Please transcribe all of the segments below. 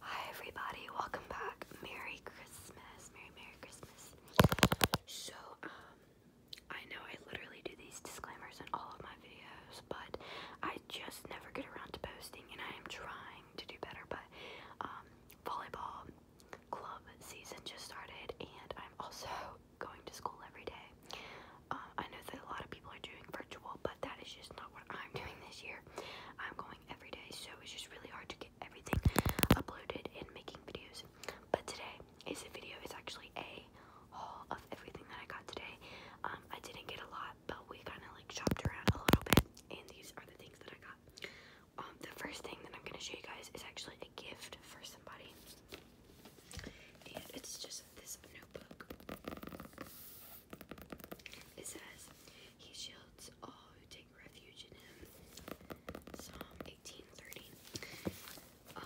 Hi everybody, welcome back. Merry Christmas. Merry Merry Christmas. So, um, I know I literally do these disclaimers in all of my videos, but I just never get around to posting and I am trying to do better, but um, volleyball club season just started and I'm also going to school every day. Uh, I know that a lot of people are doing virtual, but that is just not what I'm doing this year. I'm going every day, so it's just really hard to get everything uploaded and making videos. But today is a video. It's actually a haul of everything that I got today. Um, I didn't get a lot, but we kind of like shopped around a little bit, and these are the things that I got. Um, the first thing that I'm gonna show you guys is actually a gift for somebody, and it's just this notebook. It says, He shields all who take refuge in Him. Psalm 1830. Um,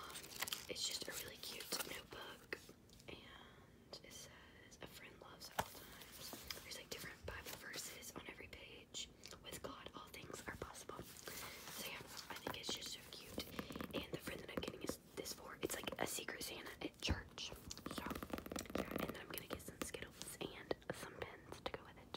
it's just a really cute notebook, and it says, A friend loves all times. There's like different Bible verses on every page. With God, all things are possible. So, yeah, I think it's just so cute. And the friend that I'm getting is this this for. It's like a secret Santa at church. So and I'm gonna get some Skittles and some pins to go with it.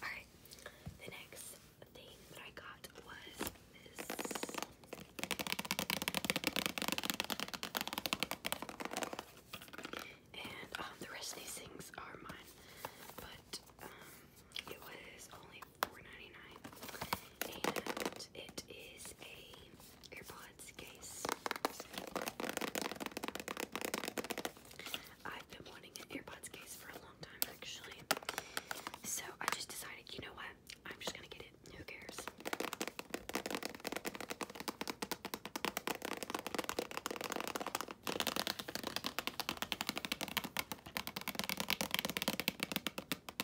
Alright, the next thing that I got was this. And um, the rest of these things are mine, but um, it was only only And it is a AirPods case. I've been wanting an AirPods case for a long time actually. So I just decided, you know what? I'm just gonna get it. Who cares?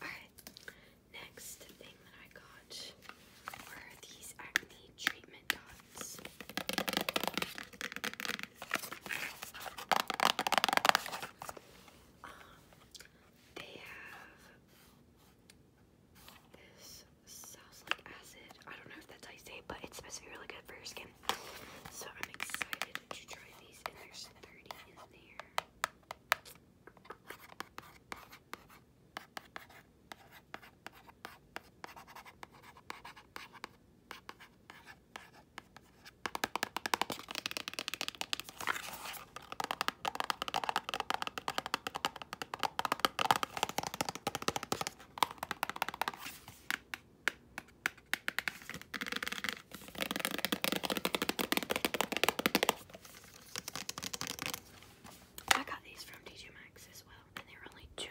Alright, next thing that I got were these acne treatment dots. Um, they have this salicylic acid. I don't know if that's how you say it, but it's supposed to be really good for your skin. So I'm excited to try these, and there's 30 in there. I got these from TJ Maxx as well, and they were only 2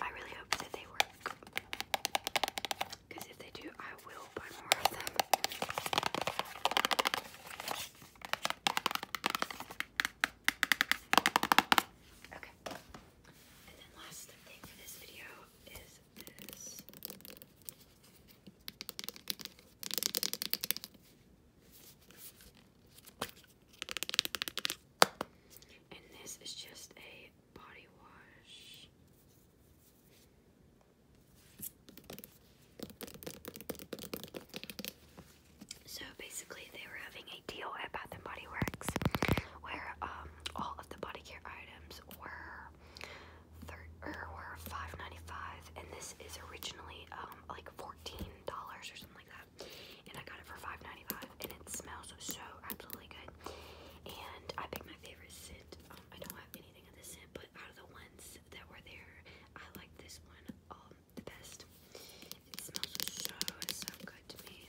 I really hope that they work. Because if they do, I will I'll more of them. Okay. And then last thing for this video is this. And this is just a body wash. So basically, they were having a deal at Bath and Body Works where um, all of the body care items were er, were five ninety five, and this is originally um, like fourteen dollars or something like that, and I got it for five ninety five, and it smells so absolutely good. And I picked my favorite scent. Um, I don't have anything of this scent, but out of the ones that were there, I like this one um, the best. It smells so, so good to me.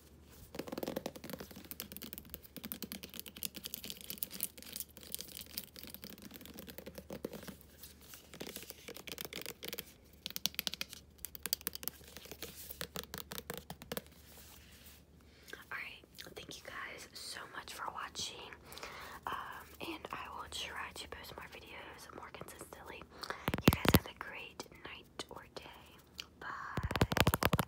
Alright, thank you guys so much for watching. Um, and I will try to post more videos more consistently. You guys have a great night or day. Bye.